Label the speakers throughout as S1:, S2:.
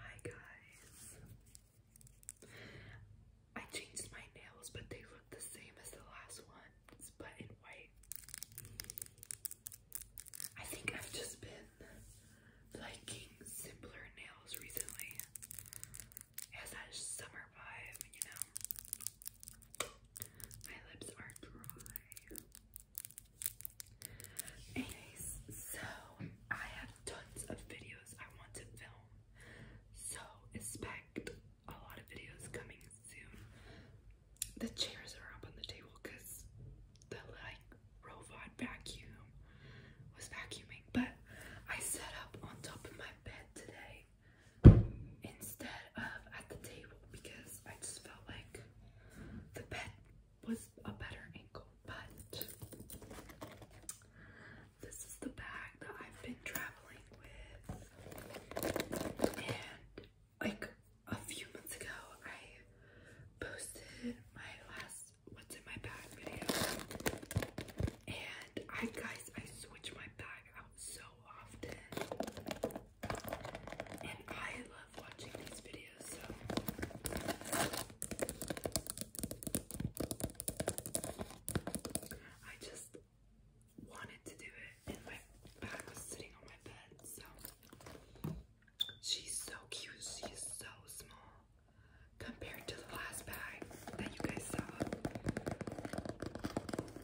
S1: Hi guys. I changed my nails, but they look the same as the last ones, but in white. I think I've just been liking simpler nails recently. has that summer vibe, you know. My lips are dry. Anyways, so I have tons of videos I want to film. So expect a lot of videos coming soon. The chairs are up on the table because the like robot vacuum was vacuuming, but I set up on top of my bed today instead of at the table because I just felt like the bed was a better ankle, but this is the bag that I've been traveling with. And like a few months ago, I posted my last what's in my bag video. And I guys, I switch my bag out so often. And I love watching these videos, so I just wanted to do it, and my bag was sitting on my bed. So she's so cute. She is so small compared to the last bag that you guys saw.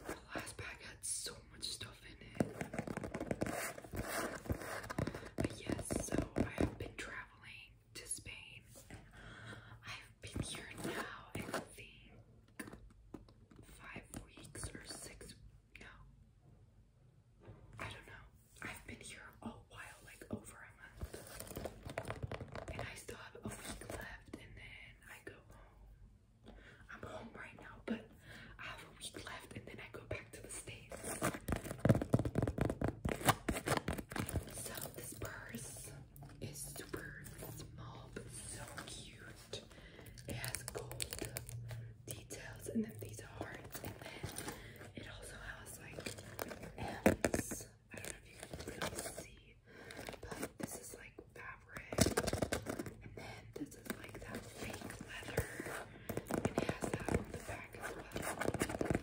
S1: The last bag had so much stuff in it. But yes, so I have been traveling to Spain. I've been here now, I think, five weeks or six. No, I don't know. I've been here a while, like over a month, and I still have a week left, and then I go home. I'm home right now, but I have a week left, and then I go back to the States. So this purse is super small but so cute. It has gold details and then these hearts and then it also has like M's. I don't know if you can really see, but this is like fabric and then this is like that fake leather and has that on the back as well.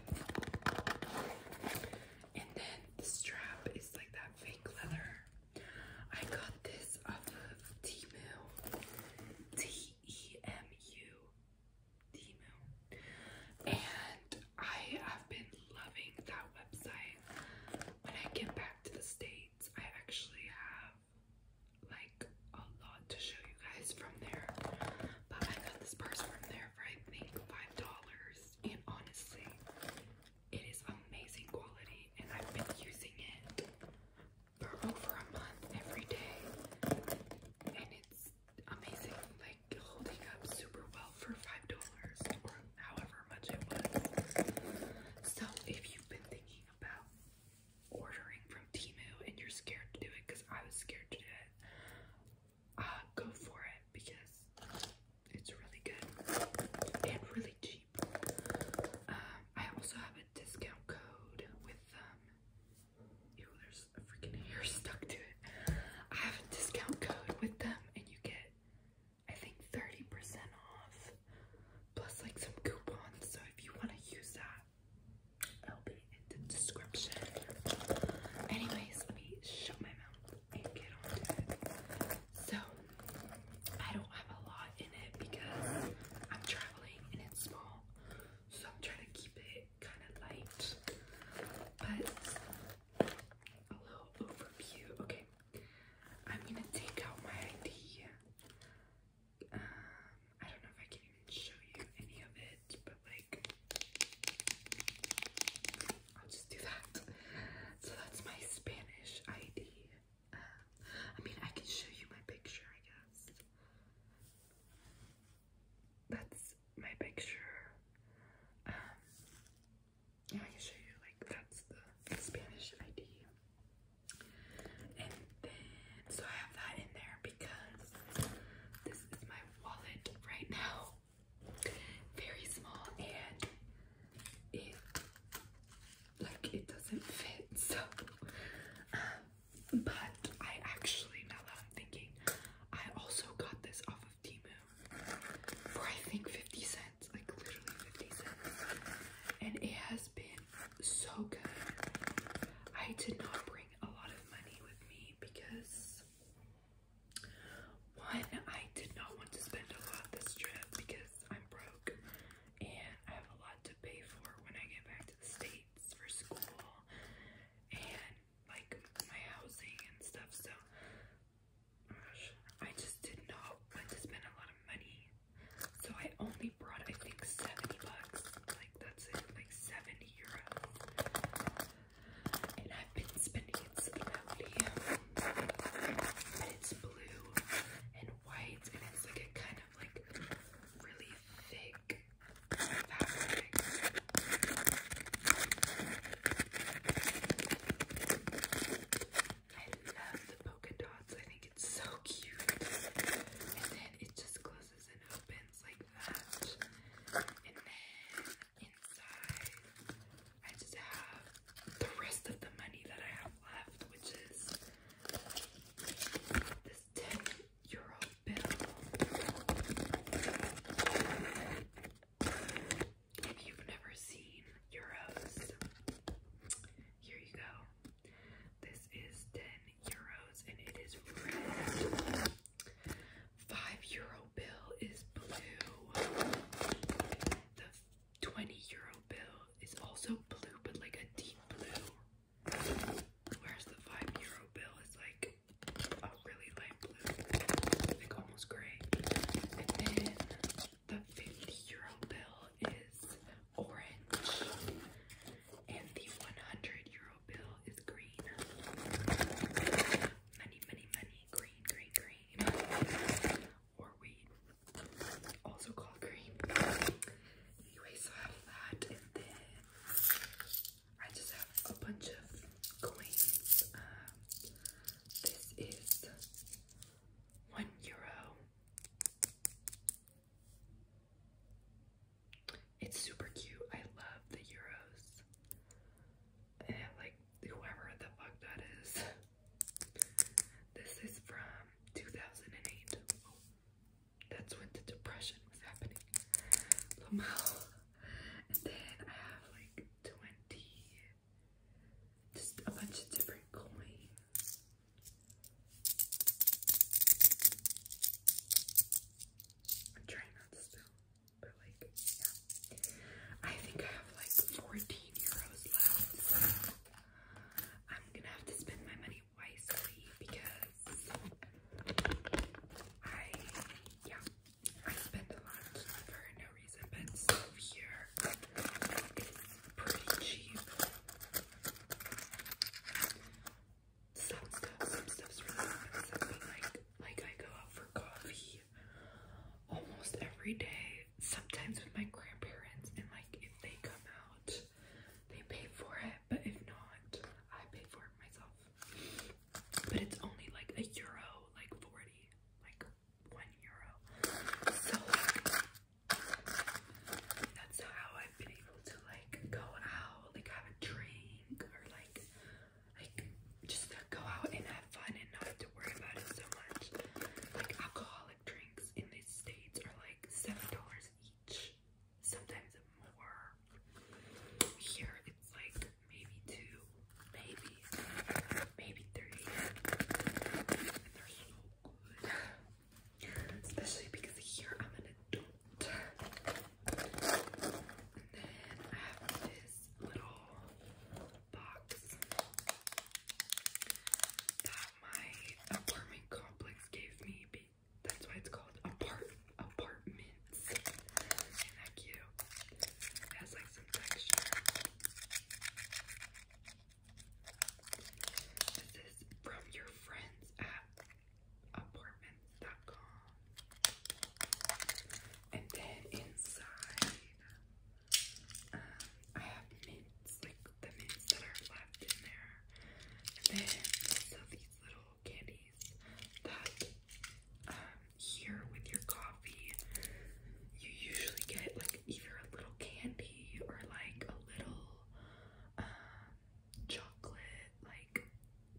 S1: And then the strap is like that fake leather. I got this off of Temu. T-E-M-U. Temu. And I have been loving that website. When I get back to the States, I actually have like a lot to show you guys from there. But I got this purse from there for I think five dollars, and honestly, it is amazing quality, and I've been using it for over a month every day, and it's amazing, like holding up super well for five dollars or however much it was. So if you've been thinking about ordering from Timu and you're scared to do it because I was scared to do it, uh, go for it because it's really good and really cheap. Um, I also have a discount code with them. Um, ew, there's a freaking hair stuck to it. I have a discount code with them and you get, I think, 30% off plus like some coupons. So if you want to use that, It'll be in the description. Anyways, let me shut my mouth and get on to it. So, I don't have a lot in it because I'm traveling and it's small. So, I'm trying to keep it kind of light. But, a little overview. Okay, I'm gonna take out my ID um, I don't know if I can even show you any of it, but like, I'll just do that. So that's my Spanish ID. Uh, I mean, I can show you my picture, I guess. That's my picture. Um, yeah, I can show you, like, that's the Spanish ID. So I have that in there because this is my wallet right now. Very small and it like it doesn't fit. So um, but I actually now that I'm thinking, I also got this off of Temu for I think 50 cents, like literally 50 cents. And it has been so good. I did not bring a lot of money with me because one, I did not want to spend a lot this trip because I'm broke and I have a lot to pay for when I get back to the States for school and like my housing and stuff. So I just did not want to spend a lot of money. So I only brought I think 70 bucks. Like that's it, like 70 and I've been spending it slowly. it's blue and white, and it's like a kind of like really thick fabric. I love the polka dots, I think it's so cute. And then it just closes and opens like that. And then inside, I just have the rest of the money that I have left, which is this 10 euro bill. If you've never seen euros, here you go. This is 10 euros and it is red. Five euro bill is blue. The 20 euro bill is also blue, but like a deep blue. Whereas the 5 euro bill is like a really light blue, like almost gray. And then the 50 euro bill is orange, and the 100 euro bill is green. Money, money, money, green, green, green. Or weed. Also called green. Anyway, so I have that and then I just have a bunch of coins. Um, this is one euro. It's super cute. I love the Euros. And like whoever the fuck that is. This is from 2008. that's when the depression was happening. And then I have like 20, just a bunch of different coins. I'm not to spill, but like, yeah. I think I have like 14 euros left. I'm gonna have to spend my money wisely because I, yeah, I spend a lot for no reason, but stuff here is pretty cheap some stuff, some stuff's like like I go out for coffee almost every day, sometimes with my grandparents, and like if they come out, they pay for it, but if not, I pay for it myself. But it's only like a euro, like 40, like one euro. So like, that's how I've been able to like like go out, like have a drink or like like just to go out and have fun and not have to worry about it so much. Like alcoholic drinks in the States are like seven dollars each. Sometimes more. Here it's like maybe two, maybe, maybe three. And they're so good especially because here I'm an adult. And then I have this little box that my apartment complex gave me. That's why it's called apart apartments. Isn't has like some texture. This is from your friends at apartments.com. And then inside, um, mints, like the mints that are left in there. And then also these little candies that um, here with your coffee, you usually get like either a little candy or like a little um, chocolate like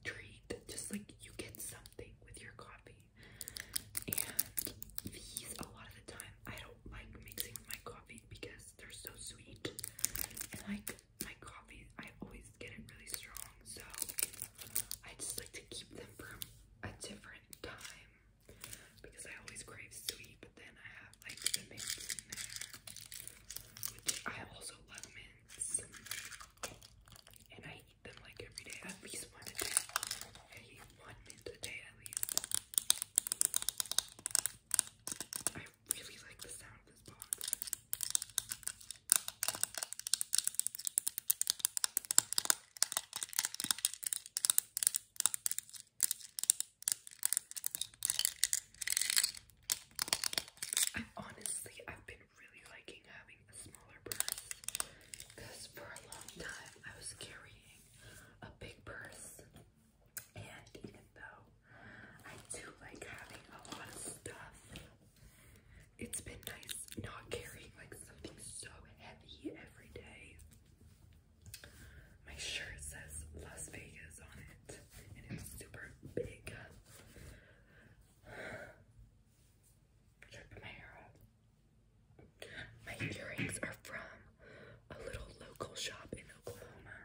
S1: treat. Just like you get something with your coffee. And these a lot of the time I don't like mixing with my coffee because they're so sweet. And like my coffee, I always get it really strong, so I just like to keep them from a different time because I always crave sweet, but then I have like the mint in there which I also love mints, and I eat them like every day, at least one a day. I eat one mint a day at least. I really like the sound of this box. And honestly, I've been really liking having a smaller purse because for a long time I was carrying a big purse, and even though I do like having a lot of stuff, it's been nice not carrying like something so heavy every day. My shirt says Las Vegas on it it's super big. Should my hair up? My earrings are from a little local shop in Oklahoma.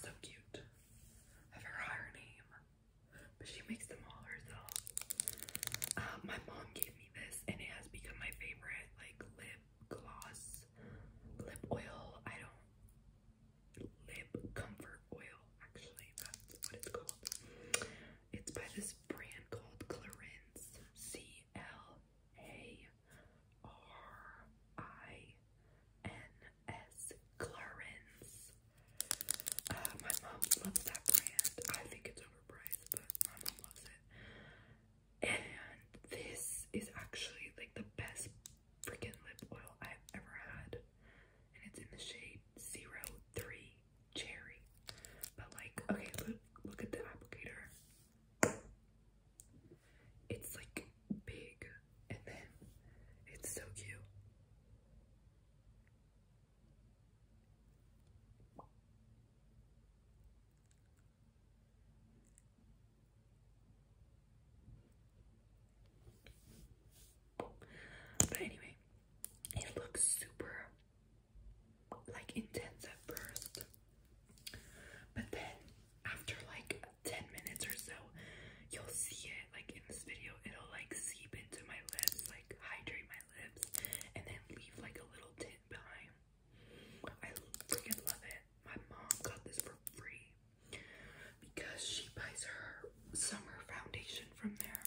S1: So cute. I forgot name, but she makes them all herself. Um, my mom gave me this, and it has become my favorite, like lip gloss, lip oil. I don't Lip Comfort Oil, actually, that's what it's called. It's by this brand called Clarins. C L A R I N S. Clarins. Uh, my mom loves that brand. I think it's overpriced, but my mom loves it. And this is actually like the best freaking lip oil I have ever had, and it's in the shade 03 Cherry. But, like, okay, look, look at the applicator. It's like big, and then it's so cute. But anyway, it looks super like intense at first. But then after like 10 minutes or so, you'll see it like in this video, it'll like seep into my lips, like hydrate my lips, and then leave like a little tint behind. I freaking love it. My mom got this for free because she buys her summer foundation from there.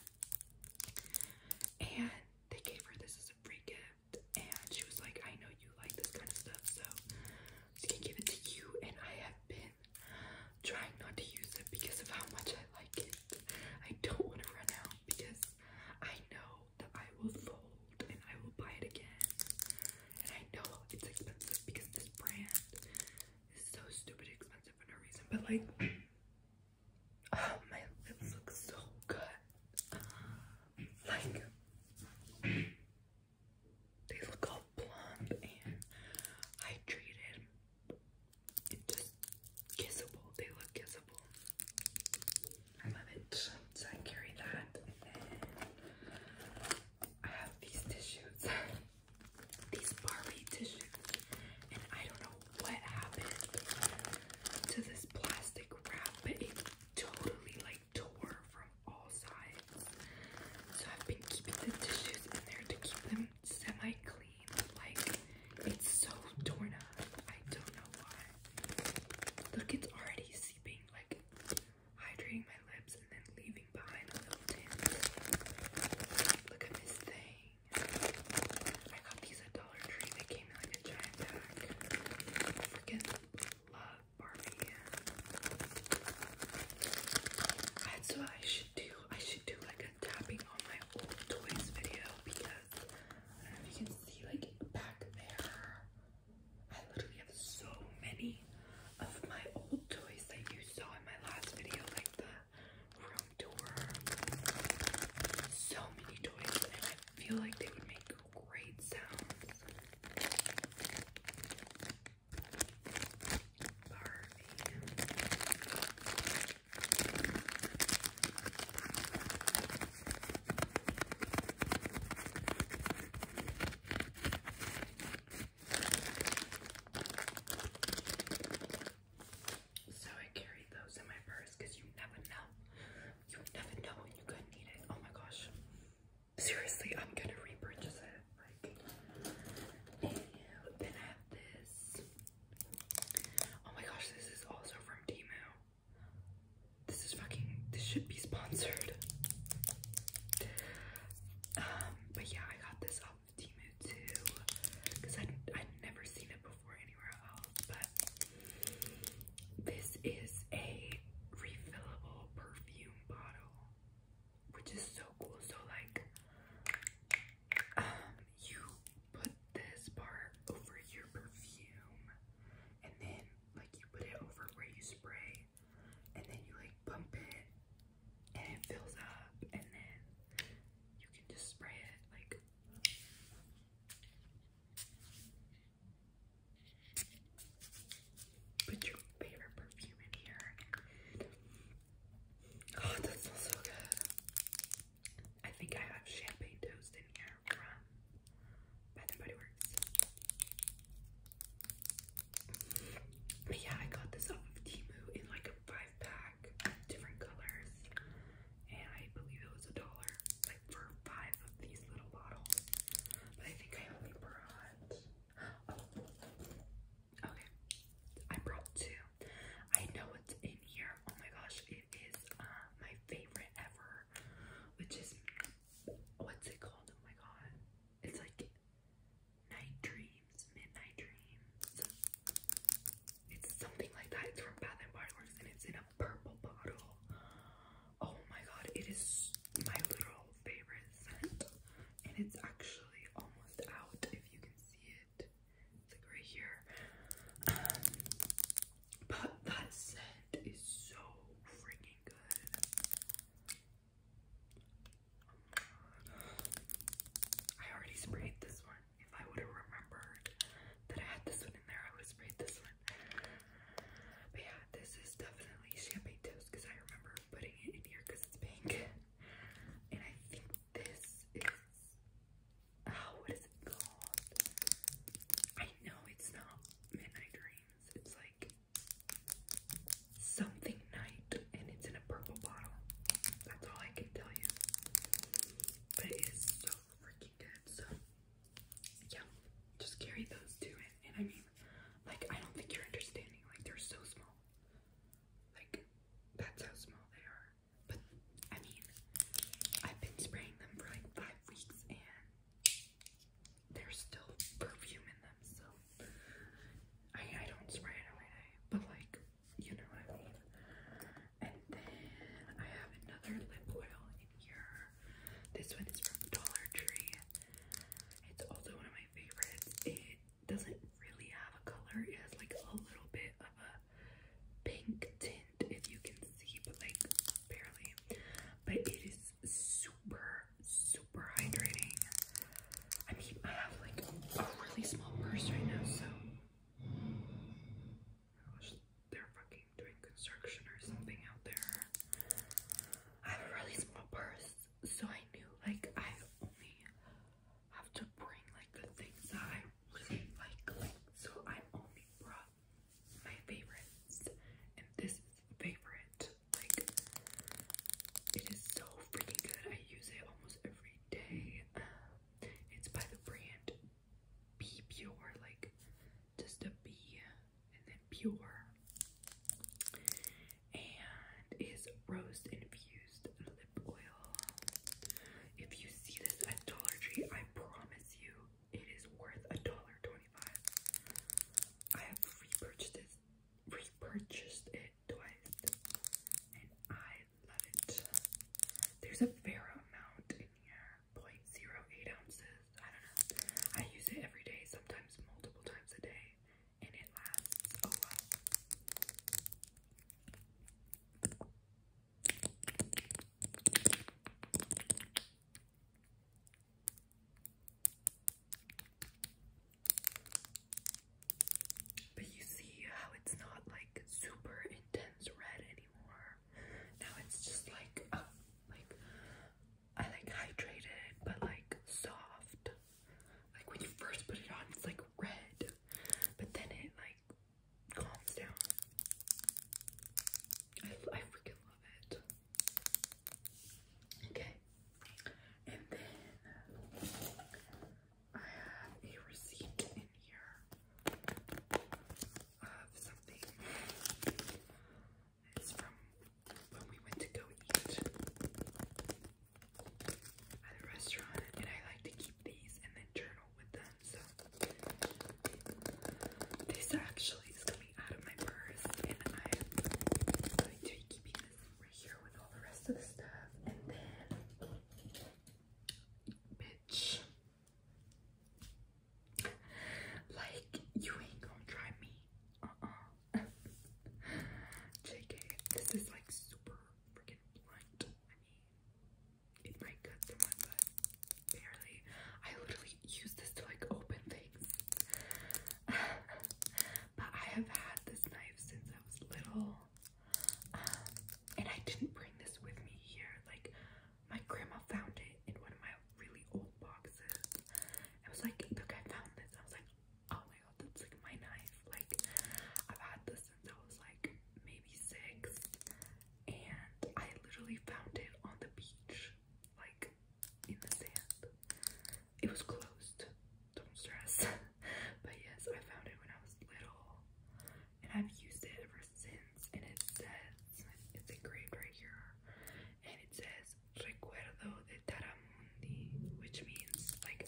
S1: And they gave her this as a free gift. And she was like, I know you like this kind of stuff, so she can give it to you. And I have been trying not to use it because of how much I like it. I don't want to run out because I know that I will fall and I will buy it again. And I know it's expensive because this brand is so stupid expensive for no reason, but like, oh, my lips look so good. Like, they look all plump and hydrated and just kissable. They look kissable. I love it. So I carry that. I have these tissues, these Barbie tissues, and I don't know what happened to this plastic wrap, but it totally like tore from all sides. So I've been keeping the tissues in there to keep them semi-clean. Like it's so torn up. I don't know why. Look, it's already seeping like hydrating my lips, and then leaving behind a little tint. Look at this thing. I got these at Dollar Tree. They came in like a giant pack. freaking love Barbie. That's what I should do. I should do like a tapping on my old toys video because if you can see like back there. I literally have so many of my old toys that you saw in my last video, like the room tour. So many toys, and I feel like they would make great sounds. Barbie. So I carried those in my purse because you never know. You never know you could need it. Oh my gosh. Seriously, I'm gonna repurchase it. Like, then I have this. Oh my gosh, this is also from Temu. This is fucking, this should be sponsored. Um, but yeah, I got this off of too, because i I'd never seen it before anywhere else, but this is a refillable perfume bottle, which is so cool. So like, um, you put this part over your perfume, and then like you put it over where you spray, and then you like bump it and it fills up and then you can just spray it like put your favorite perfume in here. Oh, that smells so good. I think I have champagne toast in here Bath Body Works. But yeah, I got this off of Timu in like a five pack, different colors, and I believe it was a dollar, like for five of these little bottles. But I think I only brought. Oh, okay. I brought two. I know what's in here. Oh my gosh, it is uh, my favorite ever, which is what's it called? Oh my god. It's like Night Dreams, Midnight Dreams. It's something like that. It's from Bath and Body Works and it's in a purple bottle. Oh my god, it is my literal favorite scent. And it's actually almost out if you can see it. It's like right here. but that scent is so freaking good. I already sprayed this one. If I would have remembered that I had this one in there, I would have sprayed this one. But yeah, this is definitely champagne toast because I remember putting it in here because it's pink. And I think this is. Oh, what is it called? I know it's not Midnight Dreams. It's like something night and it's in a purple bottle. That's all I can tell you. But it is so freaking good. So yeah, just carry those to And I mean, like I don't think you're understanding. Like they're so small. Like that's how small they are. But I mean, I've been spraying them for like five weeks and there's still perfume in them, so I, I don't spray it every day, but like, you know what I mean. And then I have another lip oil in here. This one is from Dollar Tree. It's also one of my favorites. It doesn't really have a color. It has like a little bit of a pink tint, if you can see, but like barely. But it is super super hydrating. I mean, I have like a really small purse right now, so. Gosh, they're fucking doing construction or something out there. I have a really small purse, so I knew like I only have to bring like the things that I really Like, so I only brought my favorites, and this is a favorite. Like, it is so freaking good. I use it almost every day. Um, it's by the brand Be Pure, like just a B and then pure, and is rose infused lip oil. If you see this at Dollar Tree, I promise you it is worth a dollar twenty-five. I have repurchased repurchased it twice, and I love it. There's a fair amount in here, 0.08 ounces. I don't know. I use it every day, sometimes multiple times a day, and it lasts a while. But you see how it's not like super intense red anymore. Now it's just like uh, like I like hydrated but like soft. Like when you first put it on it's like red, but then it like calms down. I, I freaking love it. Okay, and then I have a receipt in here of something. from when we went to go eat at a restaurant, and I like to keep these and then journal with them. So this actually is out of my purse, and I'm going to be keeping this right here with all the rest of the stuff, and then, bitch, like, you ain't gonna try me, uh-uh, JK, this is like super freaking blunt, I mean, it might cut through my butt, barely, I literally use this to like open things. but I have had this knife since I was little. Um, and I didn't bring this with me here. Like, my grandma found it in one of my really old boxes. I was like, look, I found this. I was like, oh my god, that's like my knife. Like, I've had this since I was like maybe six. And I literally found it on the beach. Like, in the sand. It was closed, don't stress. but yes, I found it when I was little, and I've used it ever since. And it says it's engraved right here, and it says "Recuerdo de Taramundi," which means like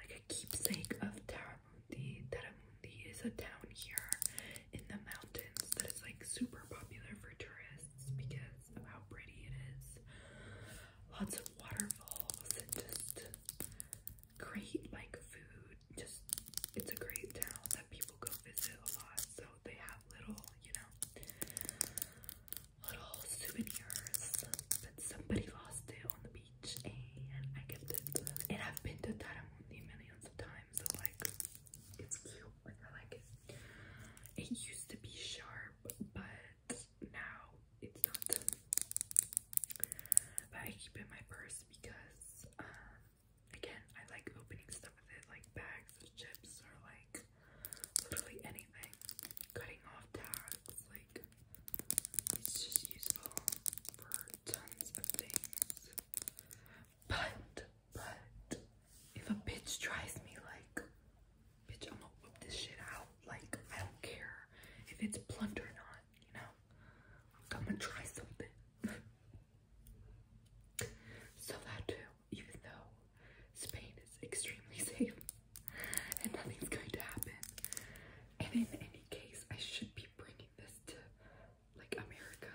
S1: like a keepsake of Taramundi. Taramundi is a town here in the mountains that is like super popular for tourists because of how pretty it is. Lots of waterfalls and just great like food. Just it's a great town that people go visit a lot. So they have little, you know, little souvenirs. But somebody lost it on the beach and I kept it. And I've been to Taramundi millions of times, so like it's cute. I like it. It used to be sharp, but now it's not. But I keep in my purse because, um, again, I like opening stuff with it, like bags chips or like literally anything. Cutting off tags, like it's just useful for tons of things. But but if a bitch tries me, like, bitch, I'm gonna whip this shit out. Like, I don't care if it's blunt or not, you know? I'm gonna try something. so that too, even though Spain is extremely safe and nothing's going to happen. And in any case, I should be bringing this to like America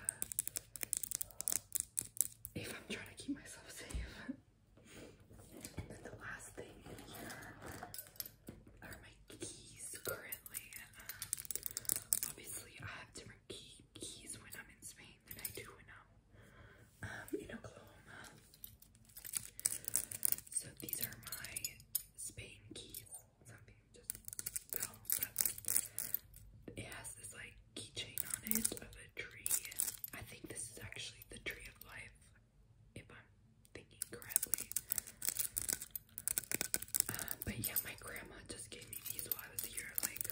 S1: if I'm trying to keep myself safe. and then the last thing here are my keys currently. obviously, I have different keys when I'm in Spain than I do when um, in Oklahoma. So these are my Spain keys. Something just fell, it has this like keychain on it of a tree. I think this is actually the tree of life, if I'm thinking correctly. Um, but yeah, my grandma just gave me these while I was here. Like,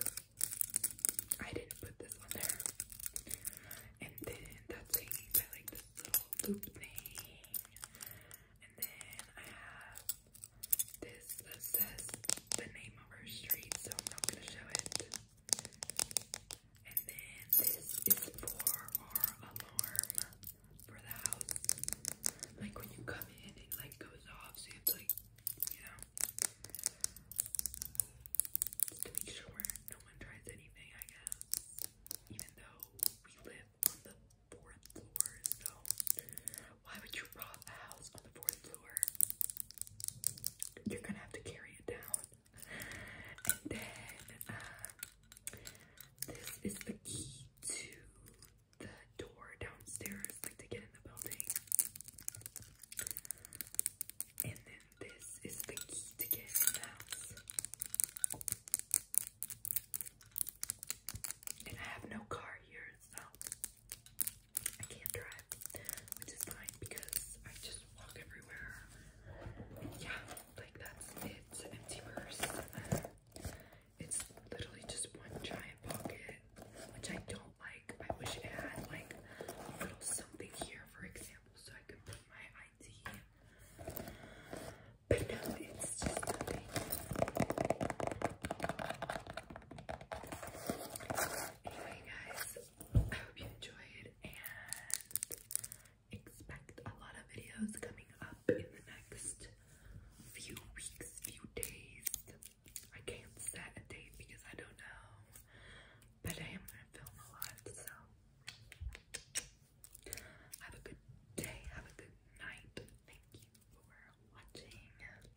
S1: I didn't put this on there. And then that's hanging by like this little loop thing. And then I have this says the name of our street, so I'm not gonna show it. And then this is for our alarm for the house. Like when you come in, it like goes off, so it's like, you know, to make sure no one tries anything, I guess. Even though we live on the fourth floor, so why would you rob a house on the fourth floor? You're gonna have to carry it down. And then, uh, this is the key to the door downstairs, to get in the building. And then this is the key to get in the house. And I have no car here, so I can't drive, which is fine because I just walk everywhere. Yeah, like that's it. empty purse. It's literally just one giant pocket, which I don't like. I wish it had like a little something here, for example, so I could put my ID. But no, it's just nothing. Anyway, guys, I hope you enjoyed and expect a lot of videos coming up in the next few weeks, few days. I can't set a date because I don't know, but I am going to film a lot, so have a good day, have a good night. Thank you for watching.